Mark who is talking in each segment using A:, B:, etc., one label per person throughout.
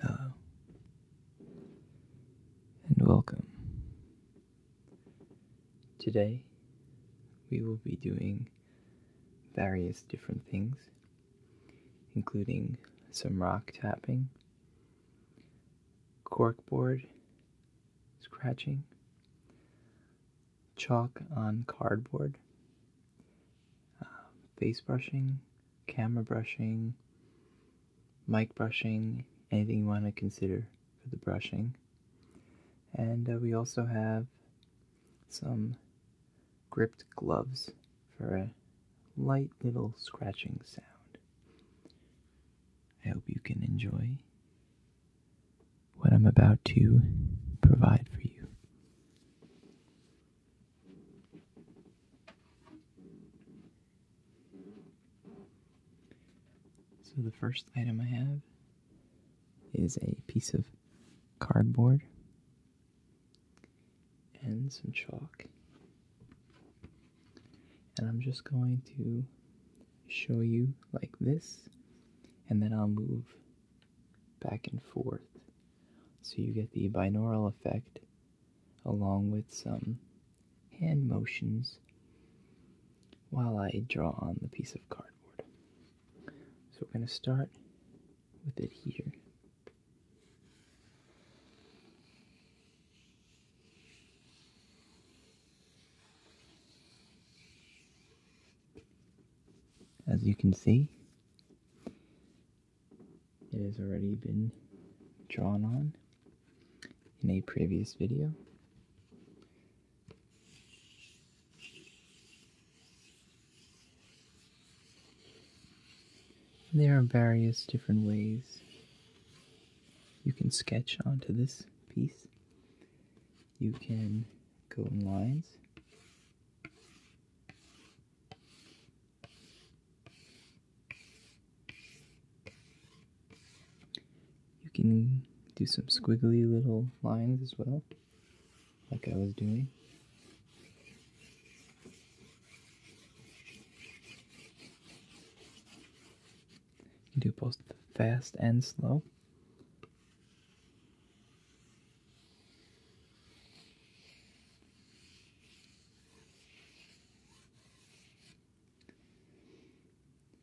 A: Hello, and welcome.
B: Today, we will be doing various different things, including some rock tapping, corkboard scratching, chalk on cardboard, um, face brushing, camera brushing, mic brushing, anything you want to consider for the brushing. And uh, we also have some gripped gloves for a light little scratching sound. I hope you can enjoy what I'm about to provide for you. So, the first item I have is a piece of cardboard and some chalk. And I'm just going to show you like this, and then I'll move back and forth. So you get the binaural effect along with some hand motions while I draw on the piece of cardboard. So we're going to start with it here. As you can see, it has already been drawn on in a previous video. There are various different ways you can sketch onto this piece. You can go in lines, you can do some squiggly little lines as well, like I was doing. You do both fast and slow.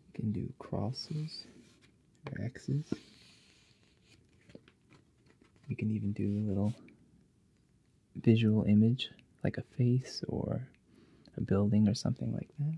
B: You can do crosses or X's. You can even do a little visual image like a face or a building or something like that.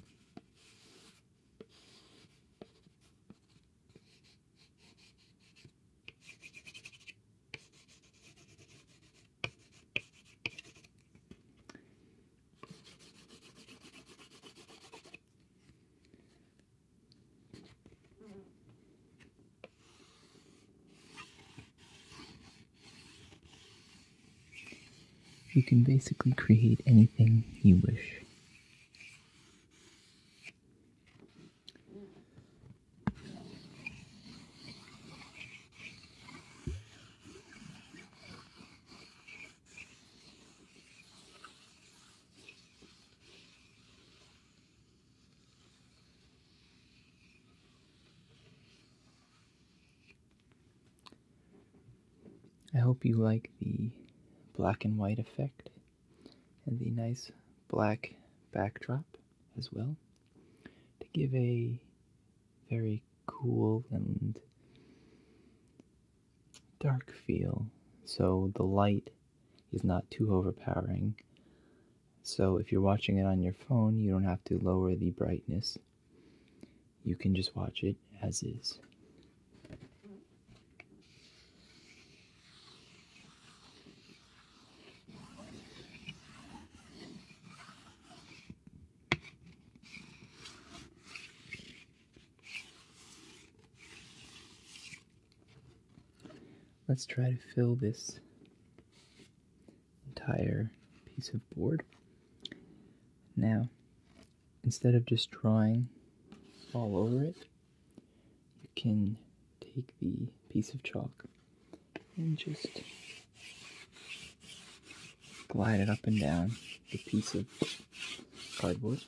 B: You can basically create anything you wish. I hope you like the black and white effect and the nice black backdrop as well to give a very cool and dark feel. So the light is not too overpowering. So if you're watching it on your phone, you don't have to lower the brightness. You can just watch it as is. Let's try to fill this entire piece of board. Now, instead of just drawing all over it, you can take the piece of chalk and just glide it up and down the piece of cardboard.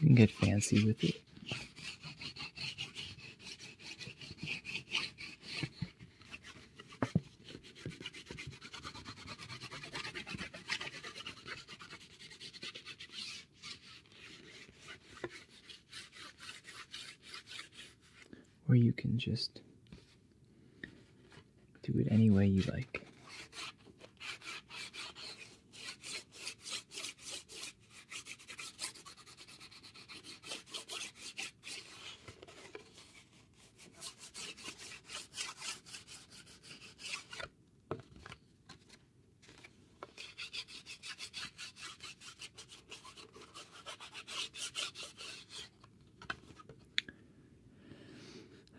B: You can get fancy with it. Or you can just do it any way you like.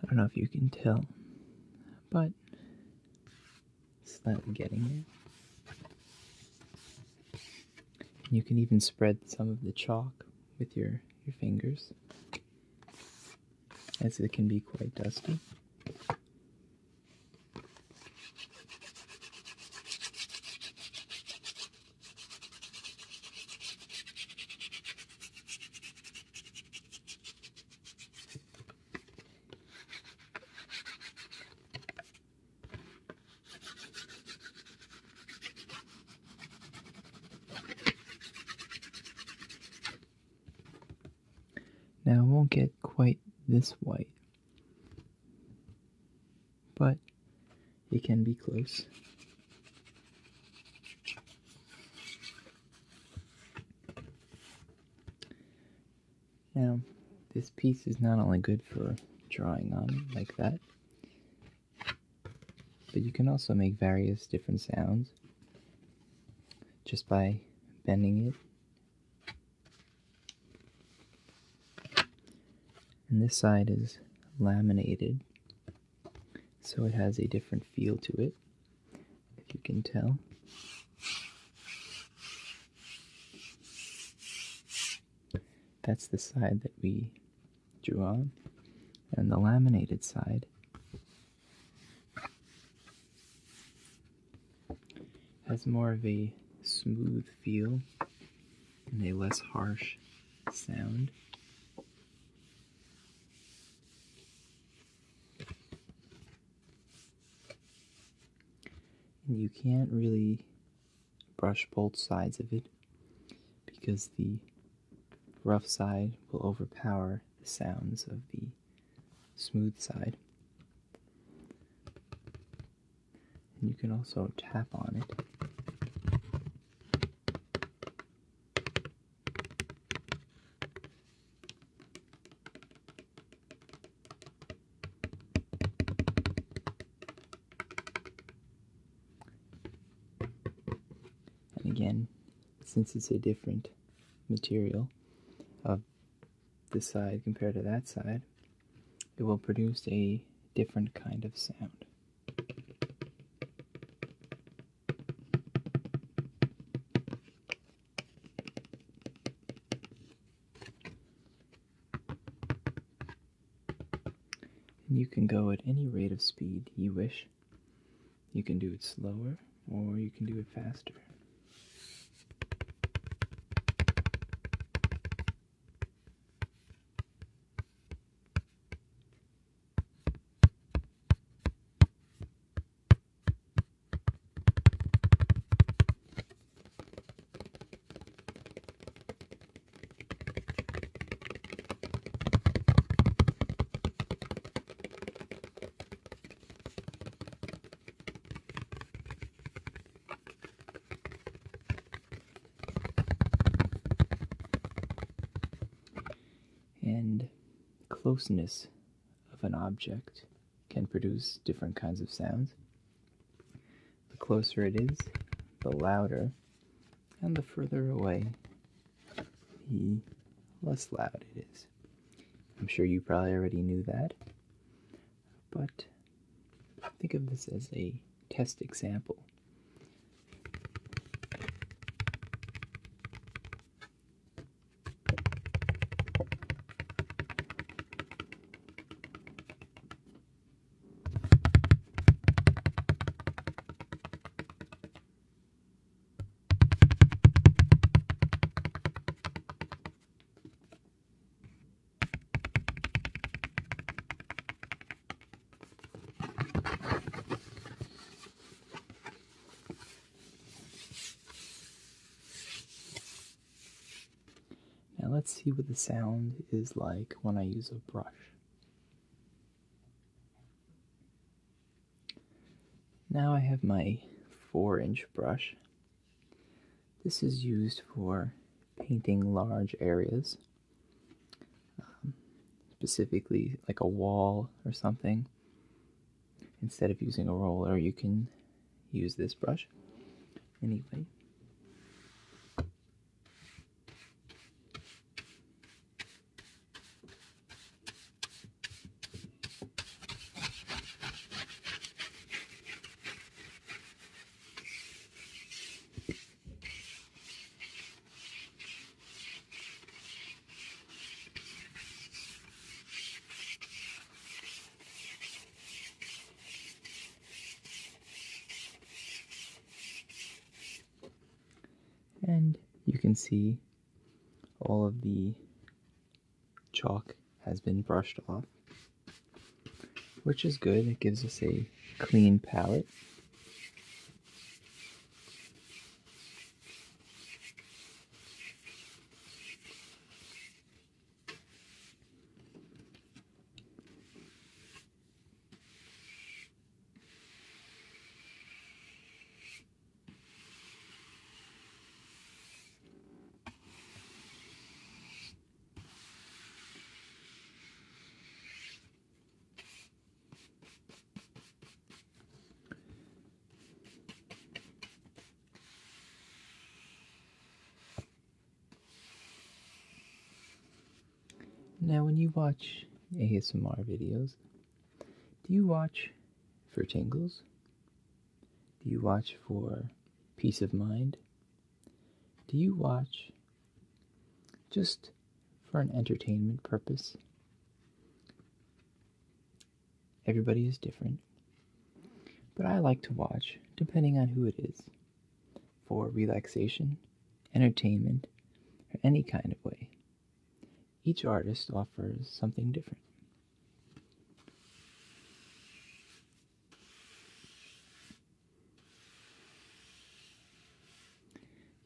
B: I don't know if you can tell, but it's slightly getting there. You can even spread some of the chalk with your, your fingers as it can be quite dusty. Now it won't get quite this white, but it can be close. Now, this piece is not only good for drawing on like that, but you can also make various different sounds just by bending it. And this side is laminated, so it has a different feel to it, if you can tell. That's the side that we drew on. And the laminated side has more of a smooth feel and a less harsh sound. And you can't really brush both sides of it because the rough side will overpower the sounds of the smooth side. And you can also tap on it. And again, since it's a different material of this side compared to that side, it will produce a different kind of sound. you can go at any rate of speed you wish you can do it slower or you can do it faster. And closeness of an object can produce different kinds of sounds. The closer it is, the louder, and the further away less loud it is. I'm sure you probably already knew that, but think of this as a test example. Now let's see what the sound is like when I use a brush. Now I have my 4 inch brush. This is used for painting large areas, um, specifically like a wall or something. Instead of using a roller, you can use this brush. Anyway, and you can see all of the chalk has been brushed off, which is good. It gives us a clean palette. Now, when you watch ASMR videos, do you watch for tingles? Do you watch for peace of mind? Do you watch just for an entertainment purpose? Everybody is different, but I like to watch, depending on who it is, for relaxation, entertainment, or any kind of way. Each artist offers something different.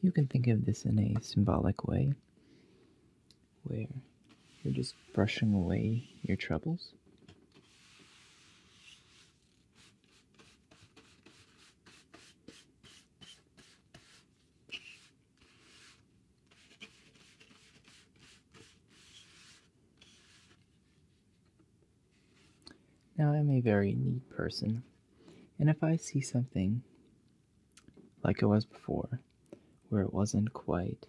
B: You can think of this in a symbolic way where you're just brushing away your troubles. Now, I'm a very neat person, and if I see something like it was before, where it wasn't quite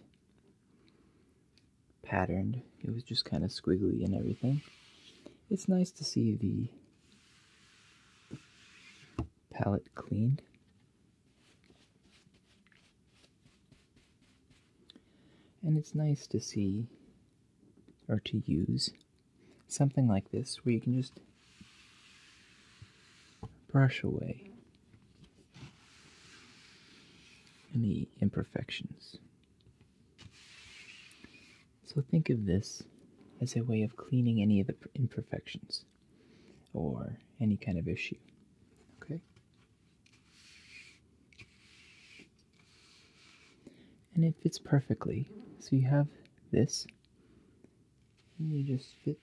B: patterned, it was just kind of squiggly and everything, it's nice to see the palette cleaned and it's nice to see or to use something like this where you can just brush away any imperfections. So think of this as a way of cleaning any of the imperfections or any kind of issue. Okay? And it fits perfectly. So you have this, and you just fit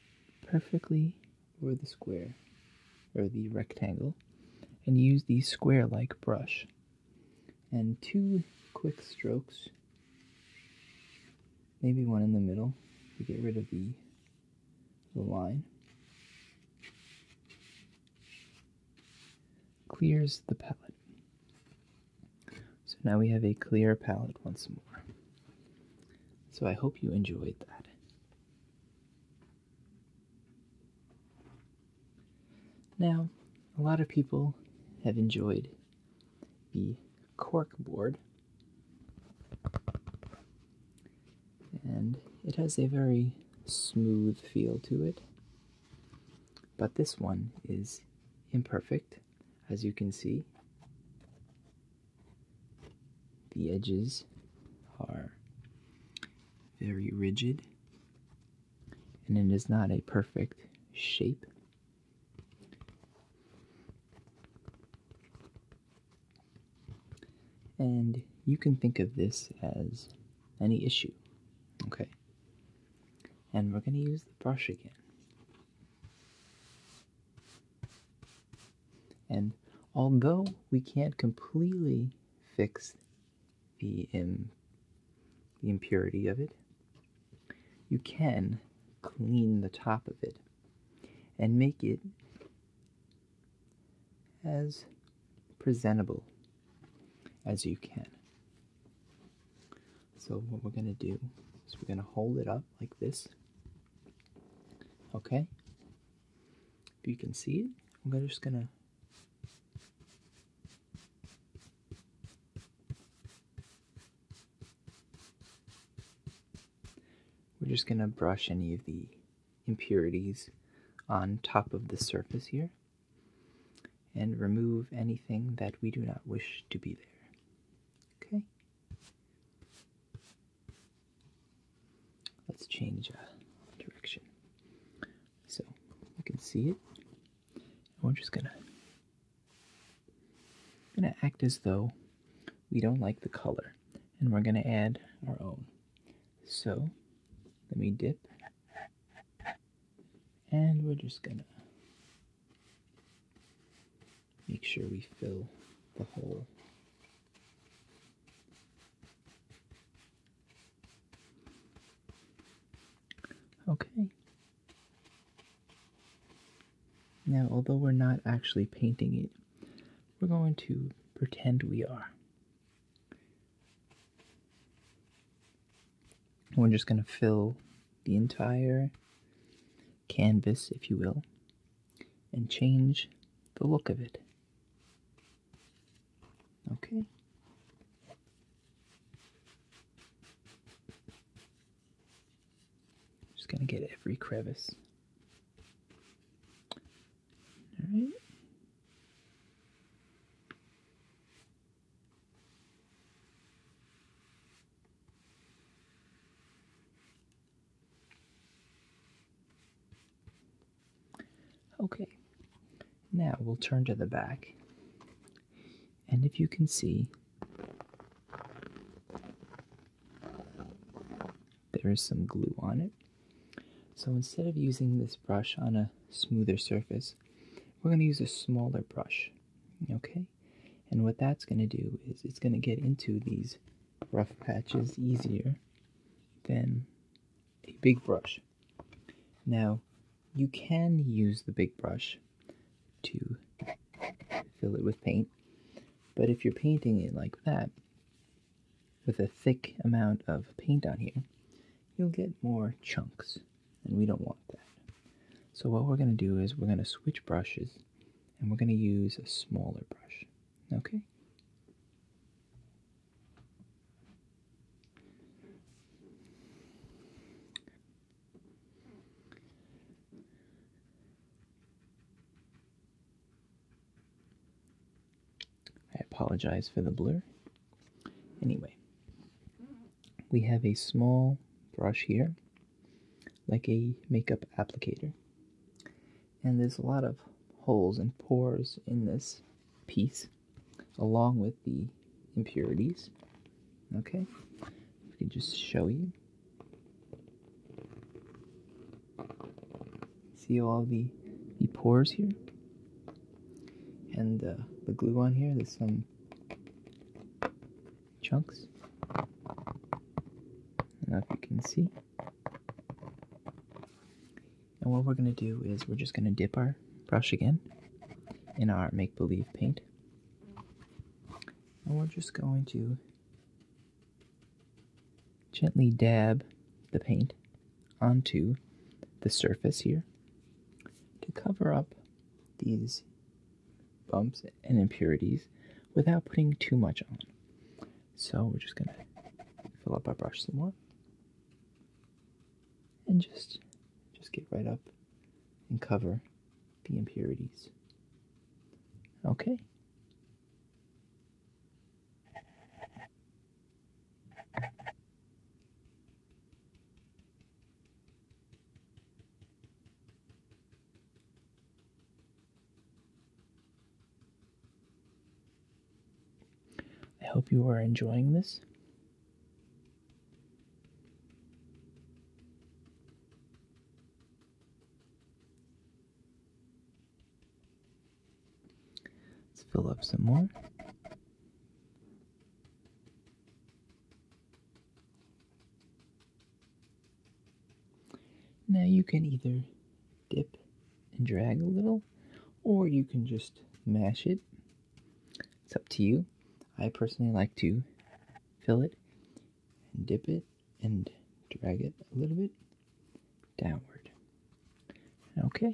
B: perfectly over the square or the rectangle, and use the square like brush. And two quick strokes, maybe one in the middle to get rid of the the line, clears the palette. So now we have a clear palette once more. So I hope you enjoyed that. Now, a lot of people have enjoyed the cork board and it has a very smooth feel to it. But this one is imperfect, as you can see. The edges are very rigid, and it is not a perfect shape. And you can think of this as any issue, okay? And we're going to use the brush again. And although we can't completely fix the, impurity of it, you can clean the top of it and make it as presentable as you can. So what we're going to do is we're going to hold it up like this. Okay? If you can see it, I'm just going to we're just going to brush any of the impurities on top of the surface here and remove anything that we do not wish to be there. Okay? Let's change uh, direction. So you can see it. And we're just going to going to act as though we don't like the color and we're going to add our own. So let me dip and we're just going to make sure we fill the hole. Okay. Now, although we're not actually painting it, we're going to pretend we are. we're just going to fill the entire canvas, if you will, and change the look of it. Okay. Just gonna get every crevice. All right. Okay, now we'll turn to the back, and if you can see, there is some glue on it. So instead of using this brush on a smoother surface, we're going to use a smaller brush, okay? And what that's going to do is it's going to get into these rough patches easier than a big brush. Now, you can use the big brush to fill it with paint, but if you're painting it like that, with a thick amount of paint on here, you'll get more chunks, and we don't want that. So what we're going to do is we're going to switch brushes, and we're going to use a smaller brush, okay? I apologize for the blur. Anyway, we have a small brush here, like a makeup applicator. And there's a lot of holes and pores in this piece, along with the impurities. Okay, if I can just show you. See all the, the pores here? And uh, the glue on here, there's some chunks. Now if you can see. And what we're going to do is we're just going to dip our brush again in our make-believe paint. And we're just going to Gently dab the paint onto the surface here to cover up these bumps and impurities without putting too much on. So we're just going to fill up our brush some more and just just get right up and cover the impurities. Okay. I hope you are enjoying this. Let's fill up some more. Now you can either dip and drag a little, or you can just mash it. It's up to you. I personally like to fill it and dip it and drag it a little bit downward. Okay.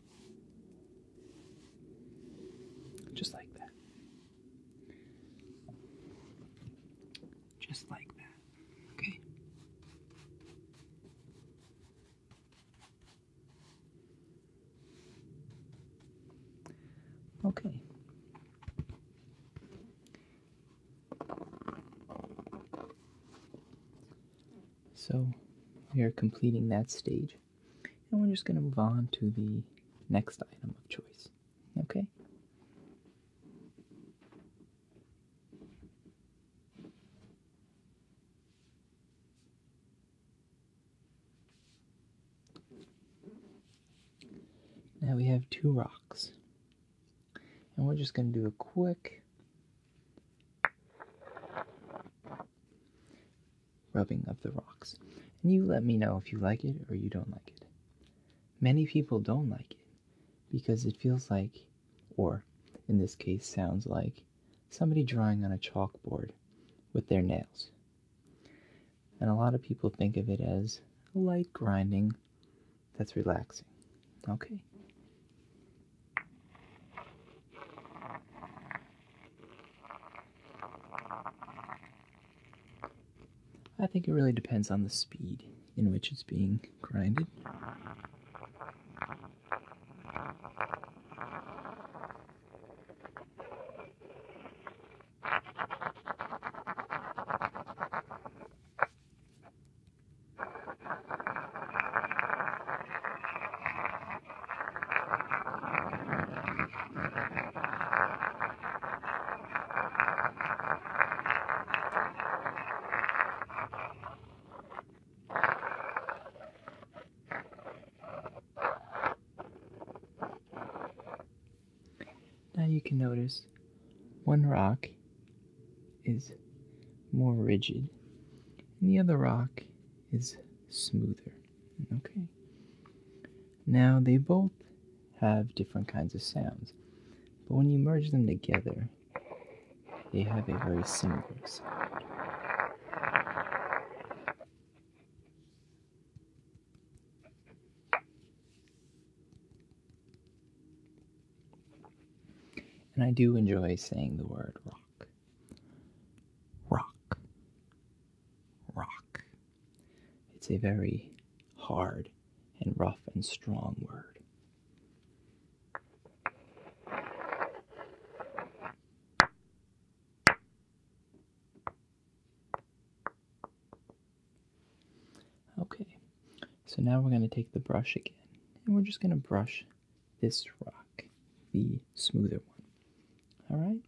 B: Just like that. Just like that.
A: Okay. Okay.
B: So we are completing that stage. And we're just going to move on to the next item of choice. Okay? Now we have two rocks. And we're just going to do a quick rubbing of the rocks, and you let me know if you like it or you don't like it. Many people don't like it because it feels like, or in this case, sounds like, somebody drawing on a chalkboard with their nails. And a lot of people think of it as light grinding that's relaxing. Okay. I think it really depends on the speed in which it's being grinded. Now you can notice one rock is more rigid and the other rock is smoother. Okay. Now they both have different kinds of sounds, but when you merge them together, they have a very similar sound. And I do enjoy saying the word rock. Rock. Rock. It's a very hard and rough and strong word. Okay, so now we're going to take the brush again and we're just going to brush this rock, the smoother one. All right.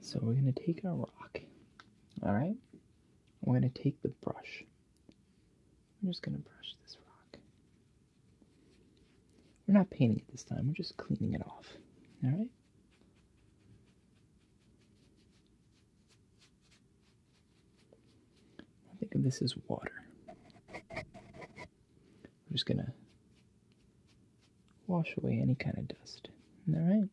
B: So we're going to take our rock. All right. We're going to take the brush. We're just going to brush this rock. We're not painting it this time. We're just cleaning it off. All right. I think of this as water. I'm just gonna wash away any kind of dust. Isn't that right?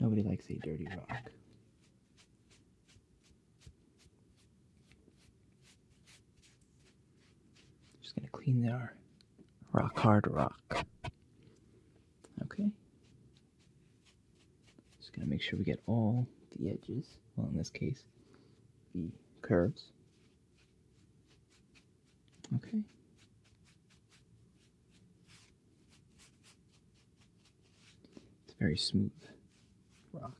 B: Nobody likes a dirty rock. Just gonna clean their rock hard rock. Okay. Just gonna make sure we get all the edges, well in this case, the curves. Okay. It's very smooth rock.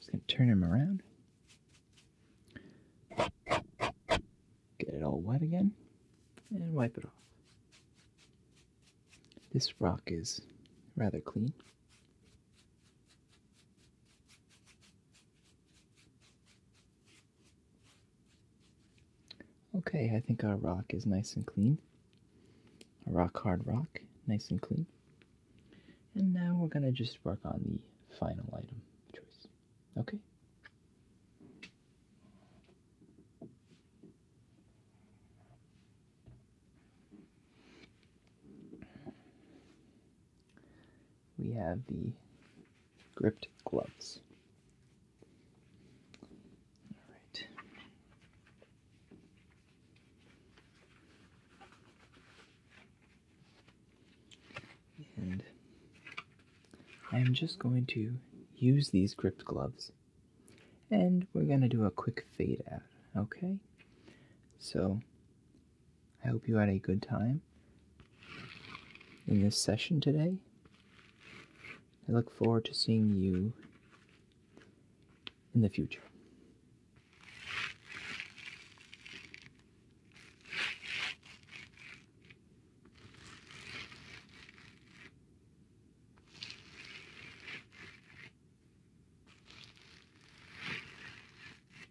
B: Just going to turn him around. Get it all wet again and wipe it off. This rock is rather clean. Okay, I think our rock is nice and clean. A rock hard rock, nice and clean. And now we're going to just work on the final item choice. Okay? we have the gripped gloves. All right. And I am just going to use these gripped gloves and we're going to do a quick fade out, okay? So I hope you had a good time in this session today. I look forward to seeing you in the future.